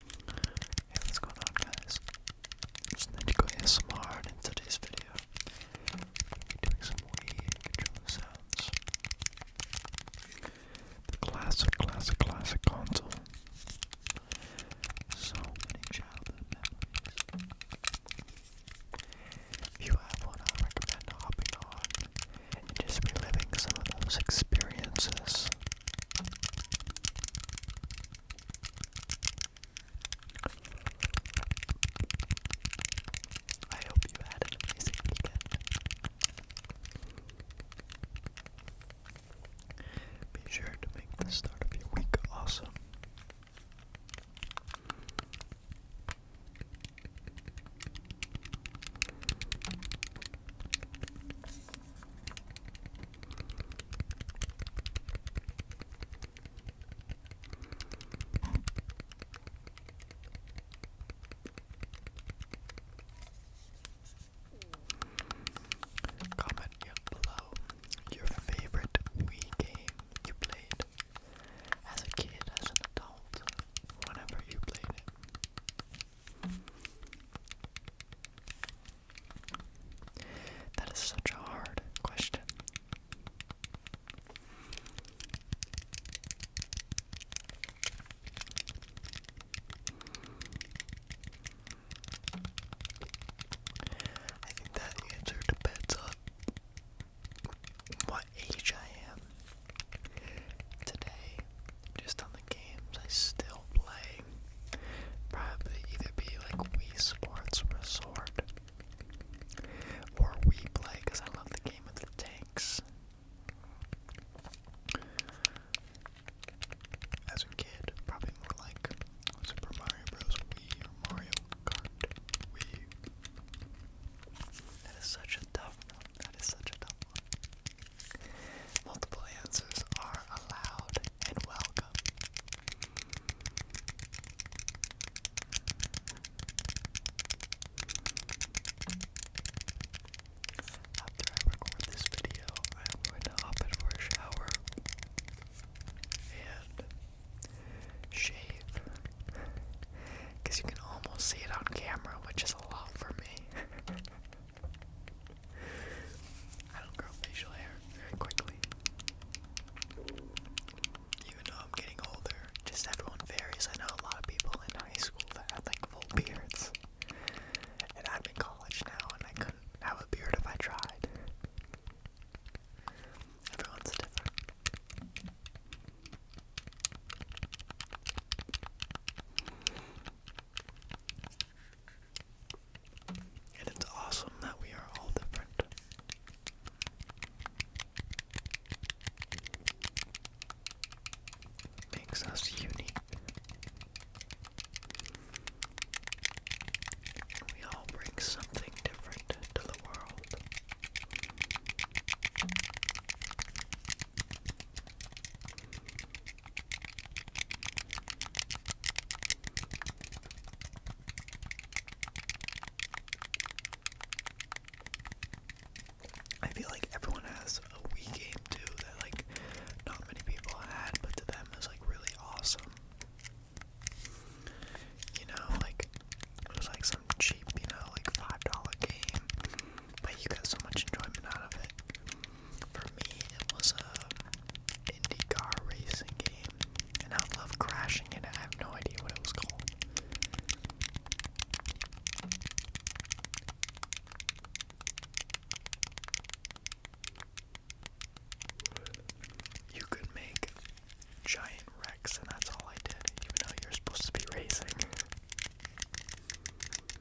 Hey, what's going on guys? It's Nico ASMR and in today's video i some Wii controller sounds. classic, classic, classic console. So many childhood If you have one, I recommend hopping on and just reliving some of those experiences. I hope you had an amazing weekend. Be sure to make the start of your week awesome. Comment below your favorite Wii game you played as a kid, as an adult, whenever you played it. That is such a hard question. I think that answer depends on what age I am today, just on games I still play probably either be like Wii Sports Resort or Wii Play because I love the game of the tanks. As a kid, probably more like Super Mario Bros. Wii Mario Kart Wii. That is such a tough one. That is such a tough one. Multiple answers are allowed and welcome. After I record this video, I'm going to hop in a shower and shave. Because you can almost see it on camera, which is a lot for me. I don't grow facial hair very quickly. Even though I'm getting older, just everyone varies. I know a lot of people in high school that had like full beards. And I'm in college now and I couldn't have a beard if I tried. Everyone's different. And it's awesome that we are all different. Makes us unique. We all bring something different to the world. I feel like everyone has a Wii game too that like not many people had, but to them is like really awesome. You know, like it was like some cheap, you know, like five dollar game but you got so much enjoyment out of it. For me, it was a IndyCar racing game, and I love crashing and I have no idea what it was called. You could make giant wrecks, and that's all I did, even though you're supposed to be racing.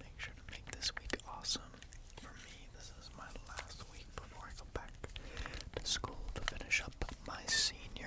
Make sure to make this week awesome. For me, this is my last week before I go back to school to finish up my senior year.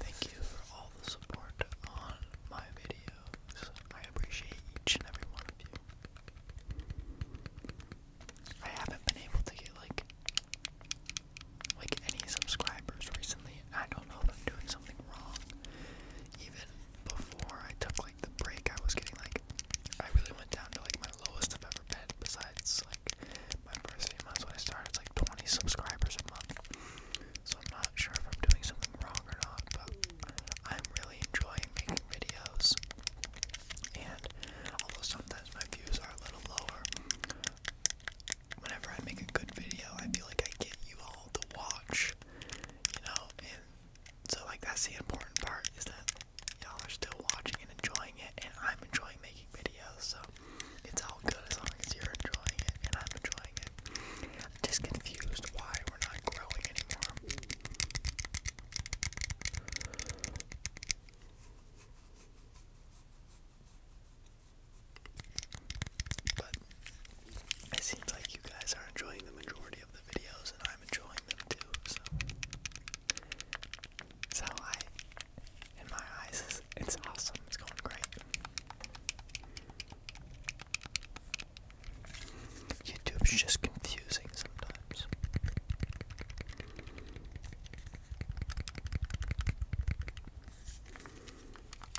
Thank you for all the support on my videos. I appreciate each and every one of you. I haven't been able to get like like any subscribers recently. I don't know if I'm doing something wrong. Even before I took the break I was getting like I really went down to like my lowest I've ever been besides like my first few months when I started it's like 20 subscribers a month so I'm not sure if I'm doing something wrong or not but I'm really enjoying making videos and although sometimes my views are a little lower whenever I make a good video I feel like I get you all to watch you know so like that's the important part is that y'all are still watching and enjoying it and I'm enjoying making videos so it's all good as long as you're enjoying it and I'm enjoying it. I'm just confused why we're not growing anymore. But it seems like you guys are enjoying the majority of the videos, and I'm enjoying them too. So it's how I, in my eyes, it's awesome. It's going great. YouTube's just confusing sometimes.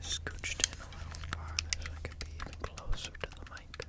scooched in a little farther so I could be even closer to the mic.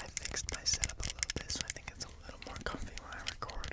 I fixed my setup a little bit so I think it's a little more comfy when I record.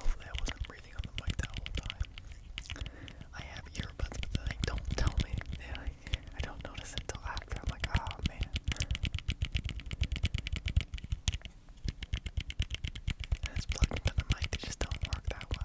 Hopefully, I wasn't I have earbuds, but they like, don't tell me. They, like, I don't notice it until after. I'm like, oh, man. And it's plugged into the mic, they just don't work that well.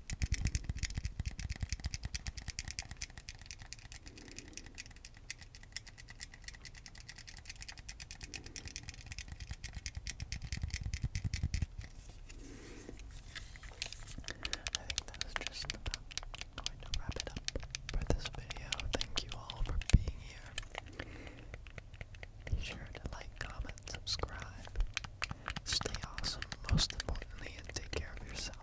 I think that just about going to wrap it up for this video. Thank you all for being here. Be sure to like, comment, subscribe, Stay awesome, most importantly, and take care of yourself.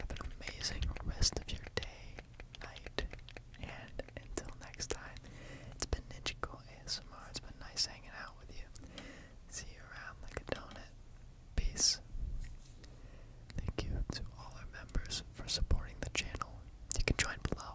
Have an amazing rest of your day, night, and until next time, it's been Ninja Cool ASMR. It's been nice hanging out with you. See you around like a donut. Peace. Thank you to all our members for supporting the channel. You can join below.